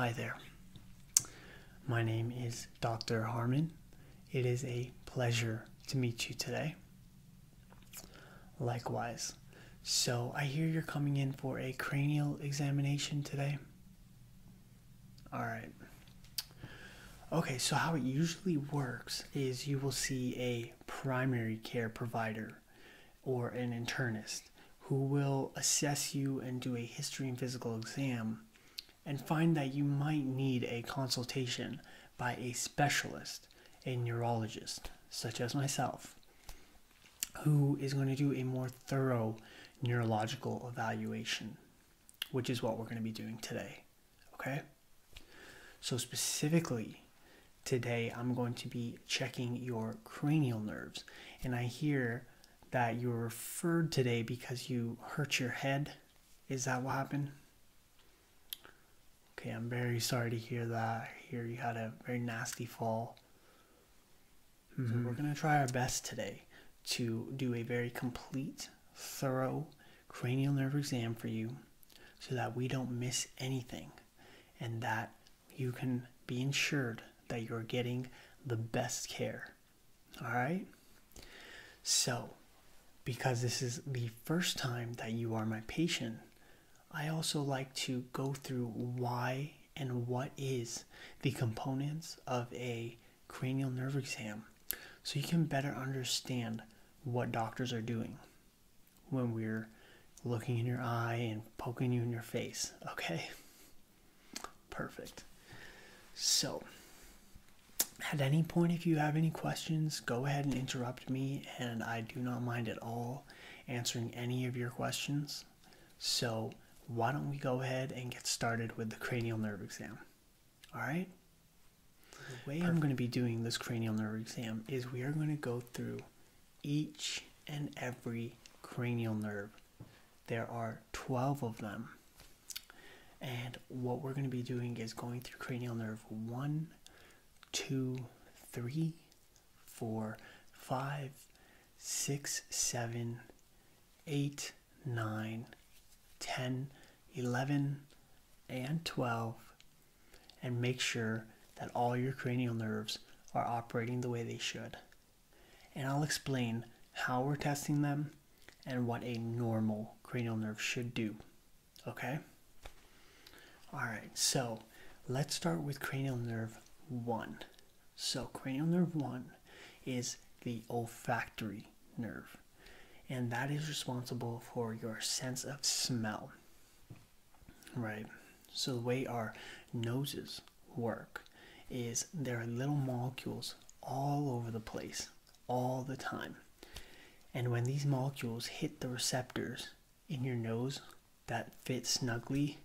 Hi there. My name is Dr. Harmon. It is a pleasure to meet you today. Likewise. So, I hear you're coming in for a cranial examination today. Alright. Okay, so how it usually works is you will see a primary care provider or an internist who will assess you and do a history and physical exam and find that you might need a consultation by a specialist, a neurologist, such as myself who is going to do a more thorough neurological evaluation, which is what we're going to be doing today. Okay? So, specifically, today I'm going to be checking your cranial nerves. And I hear that you were referred today because you hurt your head. Is that what happened? Okay, I'm very sorry to hear that. I hear you had a very nasty fall. So mm-hmm. we're going to try our best today to do a very complete, thorough cranial nerve exam for you so that we don't miss anything and that you can be insured that you're getting the best care. All right? So, because this is the first time that you are my patient, I also like to go through why and what is the components of a cranial nerve exam so you can better understand what doctors are doing when we're looking in your eye and poking you in your face. Okay? Perfect. So, at any point, if you have any questions, go ahead and interrupt me, and I do not mind at all answering any of your questions. So, why don't we go ahead and get started with the cranial nerve exam? All right. The way I'm going to be doing this cranial nerve exam is we are going to go through each and every cranial nerve. There are 12 of them. And what we're going to be doing is going through cranial nerve 1, 2, 3, four, five, six, seven, eight, nine, ten, eleven, and twelve, and make sure that all your cranial nerves are operating the way they should. And I'll explain how we're testing them and what a normal cranial nerve should do. Okay? All right, so let's start with cranial nerve 1. So, cranial nerve 1 is the olfactory nerve, and that is responsible for your sense of smell. Right? So, the way our noses work is there are little molecules all over the place, all the time. And when these molecules hit the receptors in your nose that fit snugly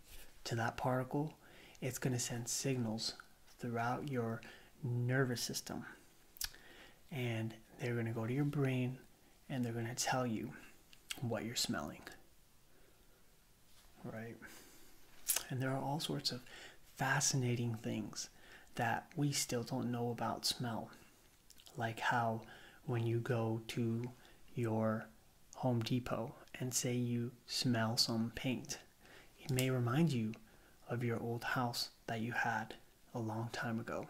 to that particle, it's going to send signals throughout your nervous system. And they're going to go to your brain and they're going to tell you what you're smelling. Right? And there are all sorts of fascinating things that we still don't know about smell. Like how when you go to your Home Depot and say you smell some paint, it may remind you of your old house that you had a long time ago.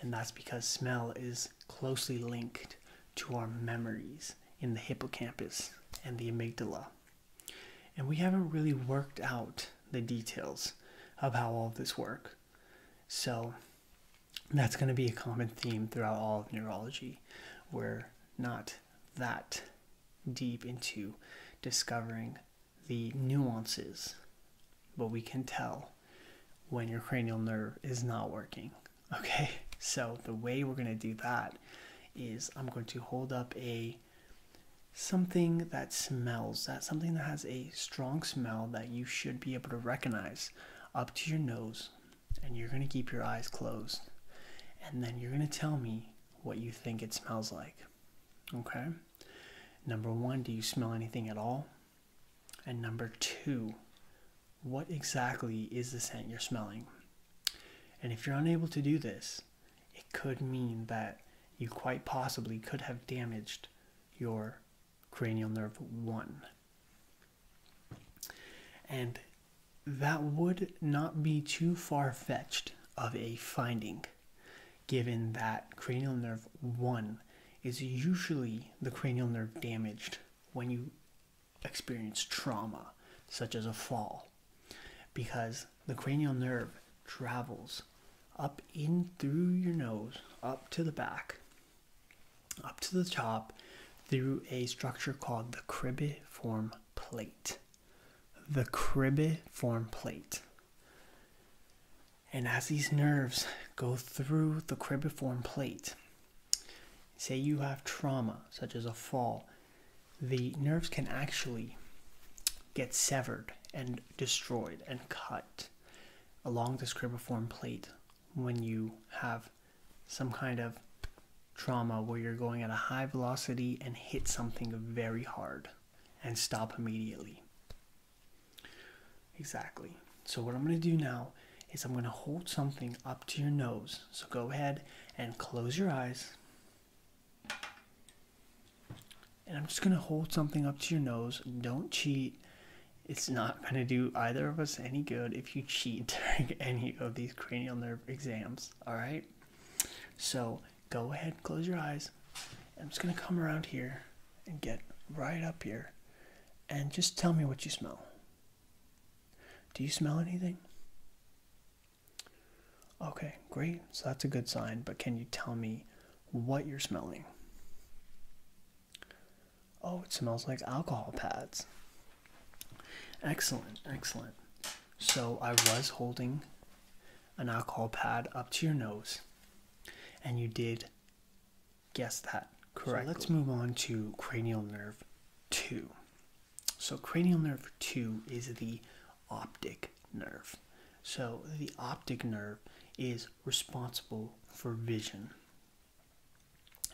And that's because smell is closely linked to our memories in the hippocampus and the amygdala. And we haven't really worked out the details of how all this works. So that's going to be a common theme throughout all neurology. We're not that deep into discovering the nuances, but we can tell when your cranial nerve is not working. Okay, so the way we're going to do that is I'm going to hold up a something that smells, that something that has a strong smell that you should be able to recognize up to your nose and you're going to keep your eyes closed and then you're going to tell me what you think it smells like. Okay? Number one, do you smell anything at all? And number two, what exactly is the scent you're smelling? And if you're unable to do this, it could mean that you quite possibly could have damaged your cranial nerve 1. And that would not be too far fetched of a finding, given that cranial nerve 1 is usually the cranial nerve damaged when you experience trauma, such as a fall, because the cranial nerve travels up in through your nose, up to the back, up to the top through a structure called the cribiform plate. The cribiform plate. And as these nerves go through the cribiform plate, say you have trauma, such as a fall, the nerves can actually get severed and destroyed and cut along the scribiform plate when you have some kind of trauma where you're going at a high velocity and hit something very hard and stop immediately. Exactly. So what I'm going to do now is I'm going to hold something up to your nose. So go ahead and close your eyes. And I'm just going to hold something up to your nose. Don't cheat. It's not going to do either of us any good if you cheat during any of these cranial nerve exams. All right. So go ahead, close your eyes. I'm just going to come around here and get right up here and just tell me what you smell. Do you smell anything? Okay, great. So that's a good sign, but can you tell me what you're smelling? Oh, it smells like alcohol pads. Excellent, excellent. So I was holding an alcohol pad up to your nose, and you did guess that correctly. So let's move on to cranial nerve 2. So, cranial nerve 2 is the optic nerve. So, the optic nerve is responsible for vision.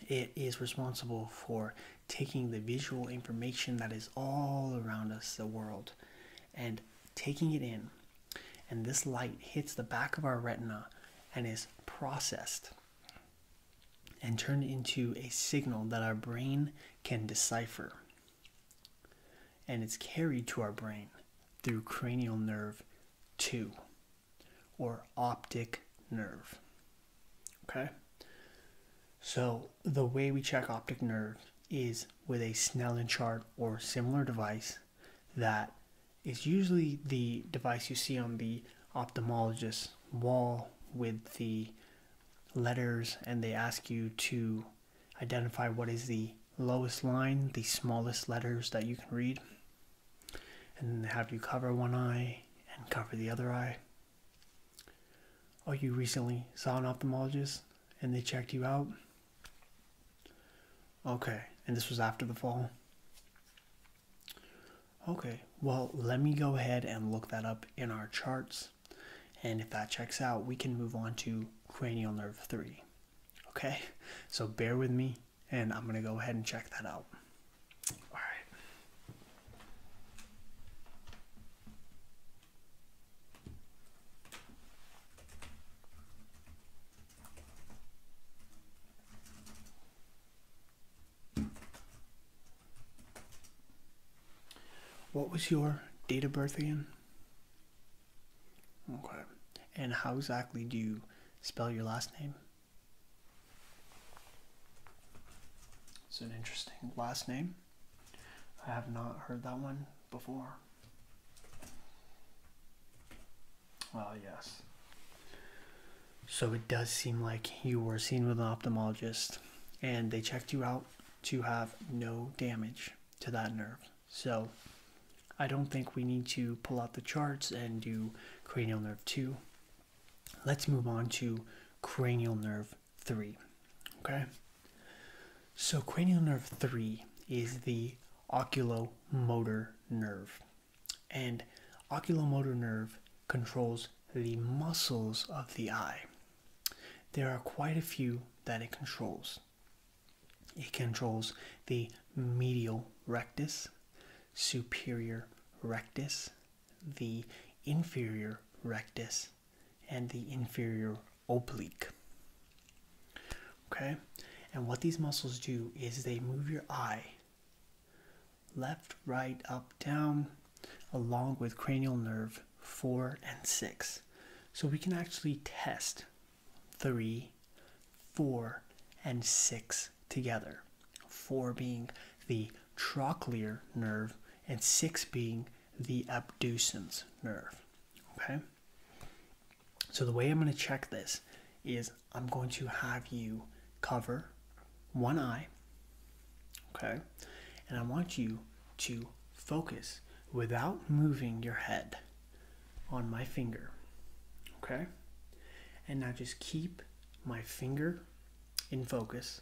It is responsible for taking the visual information that is all around us, the world, and taking it in. And this light hits the back of our retina and is processed and turned into a signal that our brain can decipher. And it's carried to our brain through cranial nerve 2 or optic nerve. Okay? So the way we check optic nerve is with a Snellen chart or similar device that is usually the device you see on the ophthalmologist's wall with the letters and they ask you to identify what is the lowest line, the smallest letters that you can read, and have you cover one eye and cover the other eye. Oh, you recently saw an ophthalmologist and they checked you out. Okay, and this was after the fall. Okay, well, let me go ahead and look that up in our charts. And if that checks out, we can move on to cranial nerve 3. Okay, so bear with me and I'm gonna go ahead and check that out. All right. What was your date of birth again? Okay. And how exactly do you spell your last name? It's an interesting last name. I have not heard that one before. Ah, yes. So it does seem like you were seen with an ophthalmologist and they checked you out to have no damage to that nerve. So I don't think we need to pull out the charts and do cranial nerve 2. Let's move on to cranial nerve 3. Okay? So cranial nerve 3 is the oculomotor nerve. And oculomotor nerve controls the muscles of the eye. There are quite a few that it controls. It controls the medial rectus, superior rectus, the inferior rectus, and the inferior oblique. Okay, and what these muscles do is they move your eye left, right, up, down, along with cranial nerve 4 and 6. So we can actually test three, four, and six together. Four being the trochlear nerve, and six being the abducens nerve. Okay? So the way I'm going to check this is I'm going to have you cover one eye, okay? And I want you to focus without moving your head on my finger. Okay? And now just keep my finger in focus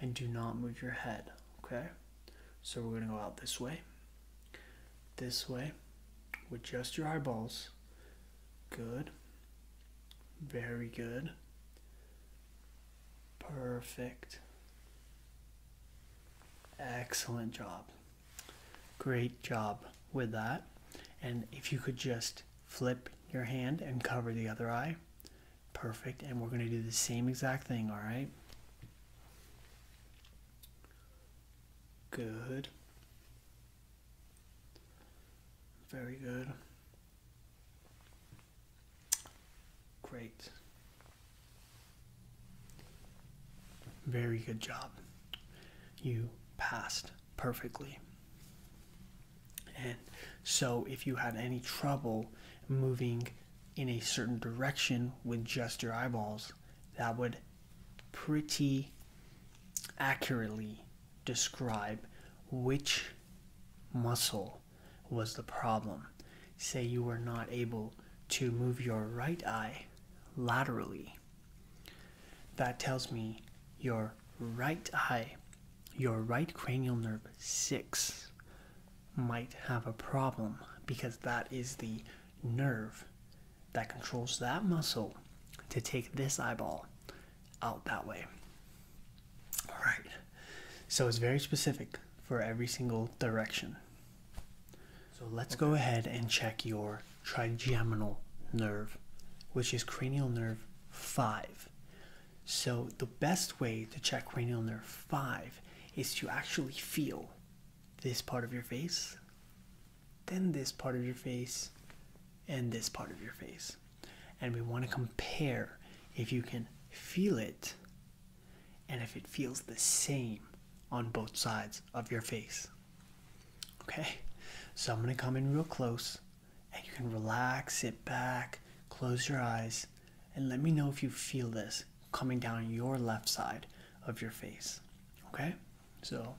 and do not move your head. Okay? So we're going to go out this way, this way, with just your eyeballs. Good. Very good. Perfect. Excellent job. Great job with that. And if you could just flip your hand and cover the other eye. Perfect. And we're going to do the same exact thing, all right? Good. Very good. Great. Very good job. You passed perfectly. And so, if you had any trouble moving in a certain direction with just your eyeballs, that would pretty accurately describe which muscle was the problem. Say you were not able to move your right eye laterally that tells me your right eye, your right cranial nerve 6, might have a problem because that is the nerve that controls that muscle to take this eyeball out that way. All right. So it's very specific for every single direction. So let's go ahead and check your trigeminal nerve, which is cranial nerve 5. So the best way to check cranial nerve 5 is to actually feel this part of your face, then this part of your face, and this part of your face. And we want to compare if you can feel it and if it feels the same on both sides of your face. Okay, so I'm gonna come in real close and you can relax, sit back, close your eyes, and let me know if you feel this coming down your left side of your face. Okay, so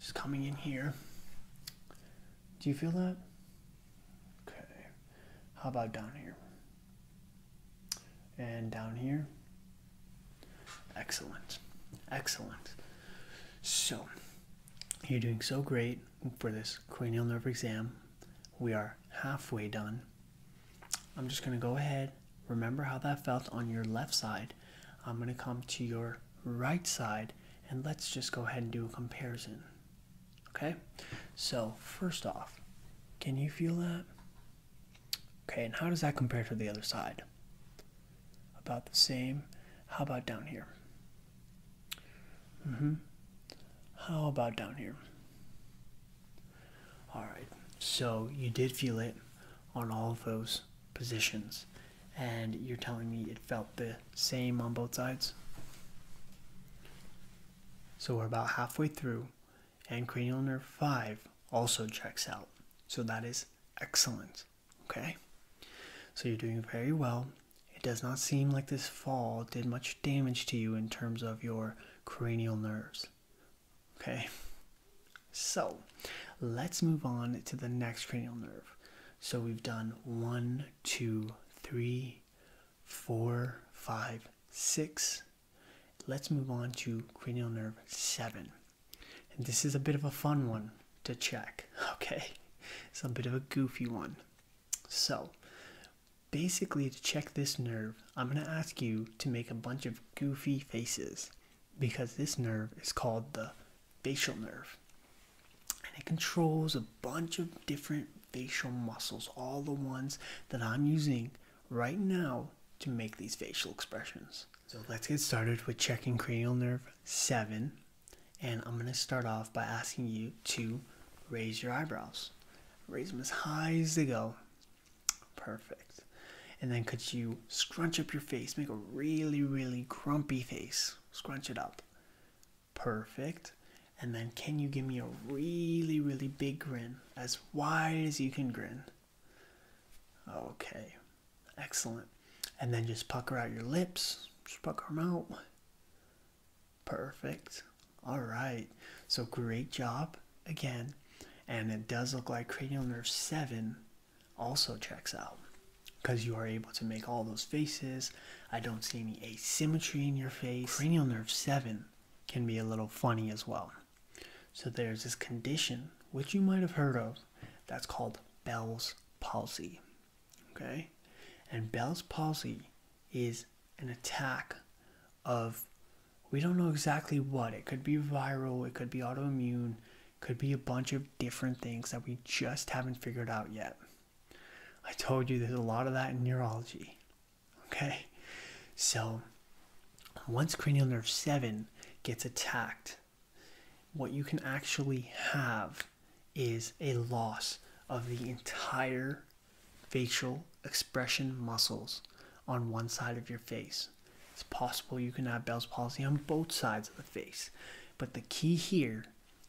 just coming in here. Do you feel that? Okay, how about down here? And down here? Excellent. Excellent. So, you're doing so great for this cranial nerve exam. We are halfway done. I'm just going to go ahead. Remember how that felt on your left side. I'm going to come to your right side and let's just go ahead and do a comparison. Okay? So, first off, can you feel that? Okay, and how does that compare to the other side? About the same. How about down here? Mm hmm. How about down here? Alright, so you did feel it on all of those positions, and you're telling me it felt the same on both sides? So we're about halfway through, and cranial nerve 5 also checks out. So that is excellent. Okay? So you're doing very well. It does not seem like this fall did much damage to you in terms of your cranial nerves. Okay? So let's move on to the next cranial nerve. So we've done one, two, three, four, five, six. Let's move on to cranial nerve seven. And this is a bit of a fun one to check, okay? It's a bit of a goofy one. So, basically, to check this nerve, I'm going to ask you to make a bunch of goofy faces because this nerve is called the facial nerve. And it controls a bunch of different facial muscles, all the ones that I'm using right now to make these facial expressions. So let's get started with checking cranial nerve 7. And I'm going to start off by asking you to raise your eyebrows. Raise them as high as they go. Perfect. And then could you scrunch up your face? Make a really, really grumpy face. Scrunch it up. Perfect. And then can you give me a really, really big grin? As wide as you can grin. Okay, excellent. And then just pucker out your lips. Just pucker them out. Perfect. All right. So great job again. And it does look like cranial nerve 7 also checks out because you are able to make all those faces. I don't see any asymmetry in your face. Cranial nerve 7 can be a little funny as well. So there's this condition, which you might have heard of, that's called Bell's palsy. Okay? And Bell's palsy is an attack of, we don't know exactly what. It could be viral, it could be autoimmune, could be a bunch of different things that we just haven't figured out yet. I told you there's a lot of that in neurology. Okay? So, once cranial nerve 7 gets attacked, what you can actually have is a loss of the entire facial expression muscles on one side of your face. It's possible you can have Bell's palsy on both sides of the face, but the key here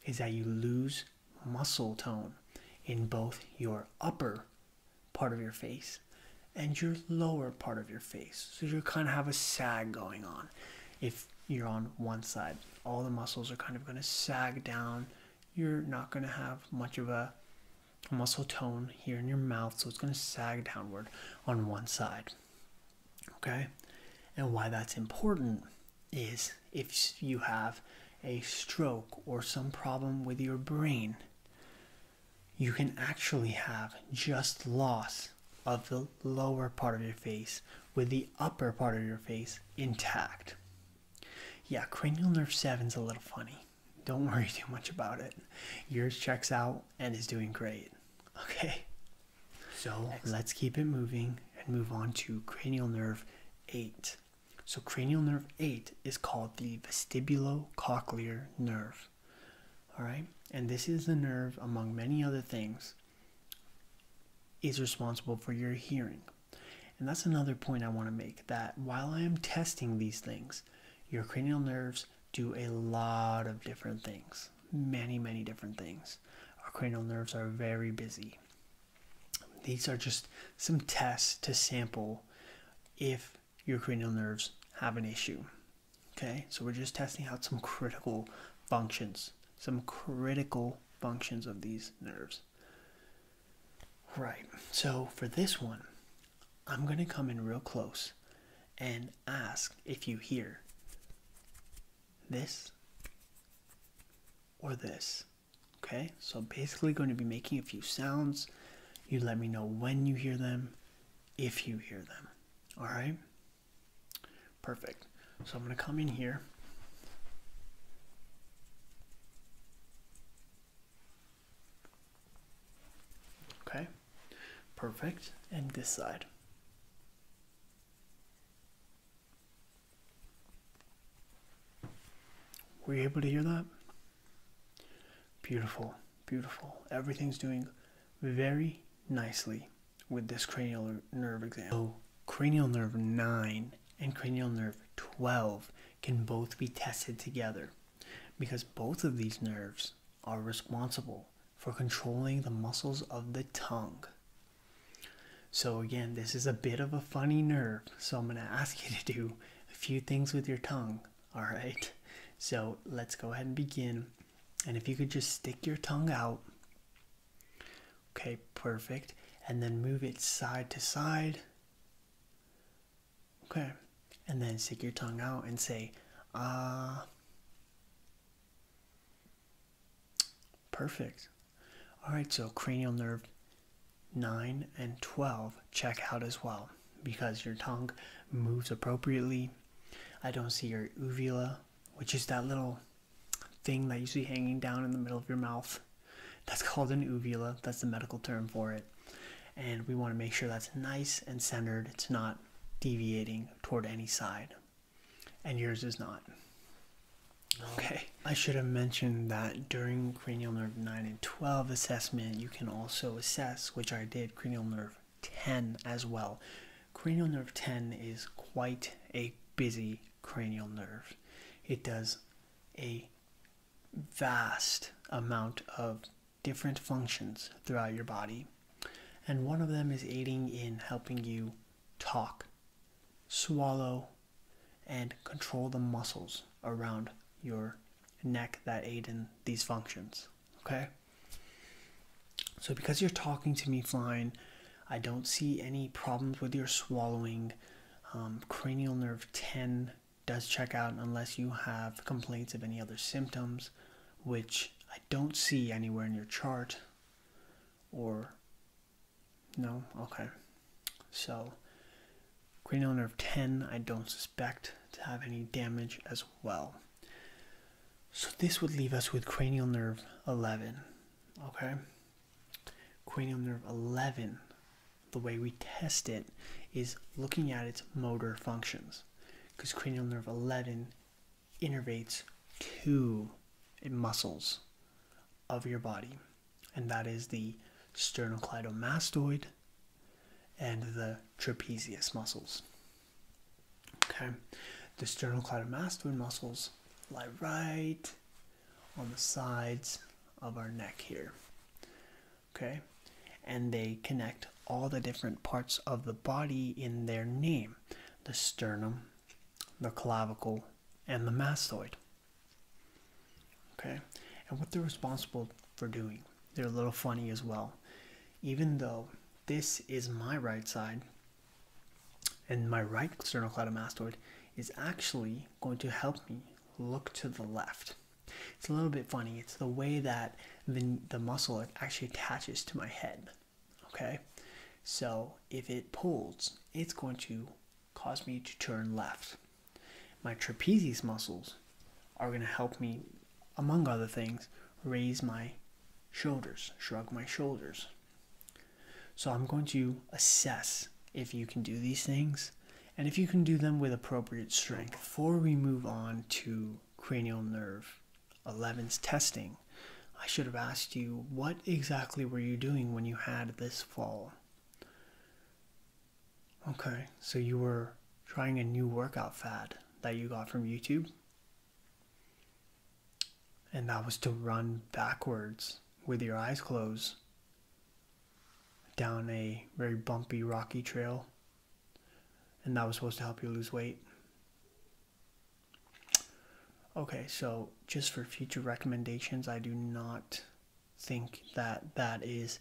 is that you lose muscle tone in both your upper part of your face and your lower part of your face. So you kind of have a sag going on. If you're on one side, all the muscles are kind of going to sag down. You're not going to have much of a muscle tone here in your mouth, so it's going to sag downward on one side. Okay? And why that's important is if you have a stroke or some problem with your brain, you can actually have just loss of the lower part of your face with the upper part of your face intact. Yeah, cranial nerve 7's a little funny. Don't worry too much about it. Yours checks out and is doing great. Okay. So let's keep it moving and move on to cranial nerve 8. So cranial nerve 8 is called the vestibulocochlear nerve. All right, and this is the nerve, among many other things, is responsible for your hearing. And that's another point I want to make that while I am testing these things, your cranial nerves do a lot of different things, many, many different things. Our cranial nerves are very busy. These are just some tests to sample if your cranial nerves have an issue. Okay, so we're just testing out some critical functions, some critical functions of these nerves. Right, so for this one, I'm going to come in real close and ask if you hear this or this. Okay, so basically going to be making a few sounds. You let me know when you hear them if you hear them. All right? Perfect. So I'm going to come in here. Okay, perfect. And this side. Were you able to hear that? Beautiful. Beautiful. Everything's doing very nicely with this cranial nerve exam. So oh, cranial nerve 9 and cranial nerve 12 can both be tested together because both of these nerves are responsible for controlling the muscles of the tongue. So again, this is a bit of a funny nerve, so I'm going to ask you to do a few things with your tongue all right? So let's go ahead and begin. And if you could just stick your tongue out, okay, perfect. And then move it side to side, okay. And then stick your tongue out and say, ah. Perfect. All right, so cranial nerve 9 and 12 check out as well because your tongue moves appropriately. I don't see your uvula, which is that little thing that you see hanging down in the middle of your mouth. That's called an uvula, that's the medical term for it. And we want to make sure that's nice and centered, it's not deviating toward any side. And yours is not. Okay, I should have mentioned that during cranial nerve 9 and 12 assessment, you can also assess, which I did cranial nerve 10 as well. Cranial nerve 10 is quite a busy cranial nerve. It does a vast amount of different functions throughout your body, and one of them is aiding in helping you talk, swallow, and control the muscles around your neck that aid in these functions okay? So, because you're talking to me flying, I don't see any problems with your swallowing. Um, cranial nerve 10 does check out unless you have complaints of any other symptoms, which I don't see anywhere in your chart. Or, no? Okay. So, Cranial nerve 10, I don't suspect to have any damage as well. So this would leave us with cranial nerve 11. Okay? Cranial nerve 11, the way we test it is looking at its motor functions. Because cranial nerve 11 innervates two muscles of your body, and that is the sternocleidomastoid and the trapezius muscles. Okay, the sternocleidomastoid muscles lie right on the sides of our neck here. Okay, and they connect all the different parts of the body in their name the sternum, the clavicle, and the mastoid. Okay, and what they're responsible for doing. They're a little funny as well. Even though this is my right side and my right sternocleidomastoid is actually going to help me look to the left. It's a little bit funny. It's the way that the, the muscle actually attaches to my head. Okay? So if it pulls, it's going to cause me to turn left. My trapezius muscles are going to help me, among other things, raise my shoulders, shrug my shoulders. So I'm going to assess if you can do these things and if you can do them with appropriate strength. Before we move on to cranial nerve 11's testing, I should have asked you what exactly were you doing when you had this fall? Okay, so you were trying a new workout fad that you got from YouTube? And that was to run backwards with your eyes closed down a very bumpy, rocky trail. And that was supposed to help you lose weight. Okay, so just for future recommendations, I do not think that that is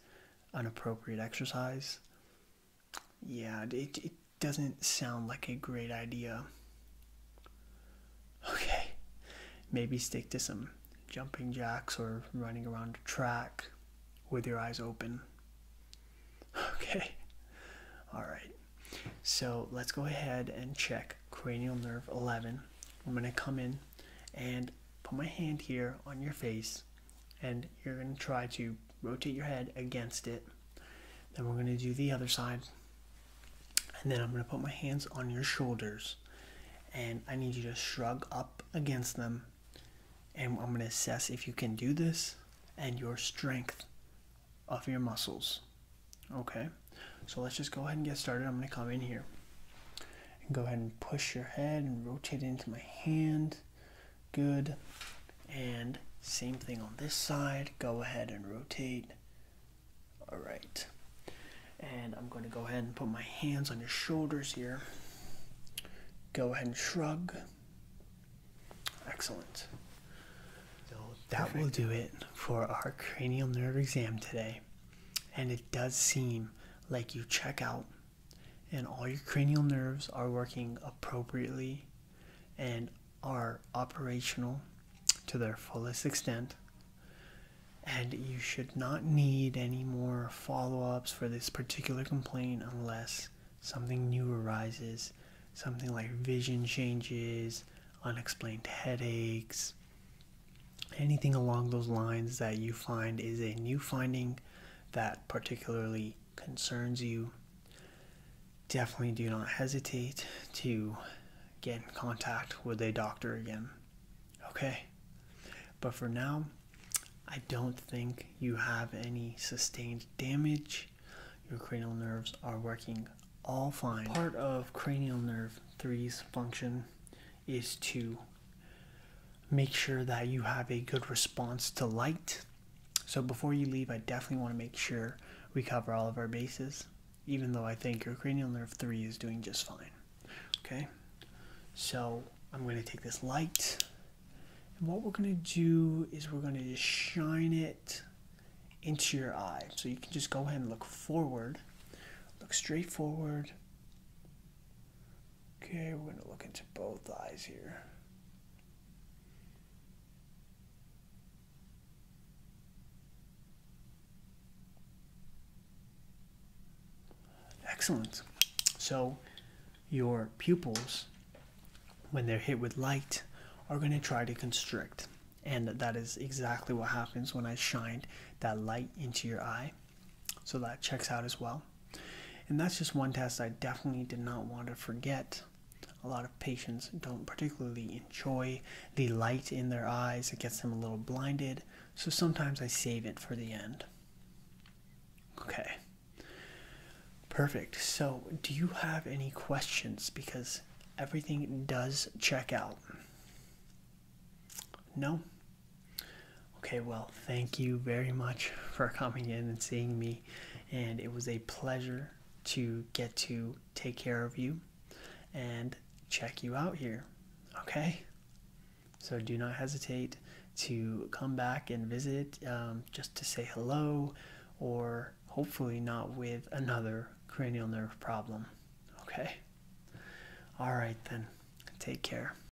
an appropriate exercise. Yeah, it, it doesn't sound like a great idea. Okay, maybe stick to some jumping jacks or running around a track with your eyes open. Okay, alright. So let's go ahead and check cranial nerve 11. I'm going to come in and put my hand here on your face and you're going to try to rotate your head against it. Then we're going to do the other side. And then I'm going to put my hands on your shoulders. And I need you to shrug up against them. And I'm going to assess if you can do this and your strength of your muscles. Okay? So let's just go ahead and get started. I'm going to come in here. And go ahead and push your head and rotate it into my hand. Good. And same thing on this side. Go ahead and rotate. All right. And I'm going to go ahead and put my hands on your shoulders here. Go ahead and shrug. Excellent. that will do it for our cranial nerve exam today. And it does seem like you check out and all your cranial nerves are working appropriately and are operational to their fullest extent. And you should not need any more follow ups for this particular complaint unless something new arises, something like vision changes, unexplained headaches, anything along those lines that you find is a new finding that particularly concerns you, definitely do not hesitate to get in contact with a doctor again. Okay? But for now, I don't think you have any sustained damage. Your cranial nerves are working all fine. Part of cranial nerve three's function is to Make sure that you have a good response to light. So before you leave, I definitely want to make sure we cover all of our bases, even though I think your cranial nerve 3 is doing just fine. Okay? So I'm going to take this light, and what we're going to do is we're going to just shine it into your eye. So you can just go ahead and look forward, look straight forward. Okay, we're going to look into both eyes here. Excellent. So your pupils, when they're hit with light, are going to try to constrict. And that is exactly what happens when I shined that light into your eye. So that checks out as well. And that's just one test I definitely did not want to forget. A lot of patients don't particularly enjoy the light in their eyes, it gets them a little blinded, so sometimes I save it for the end. Okay, perfect. So, do you have any questions? Because everything does check out. No? Okay, well, thank you very much for coming in and seeing me, and it was a pleasure to get to take care of you and check you out here. Okay, so do not hesitate to come back and visit um, just to say hello or hopefully not with another cranial nerve problem. Okay, all right, then, take care.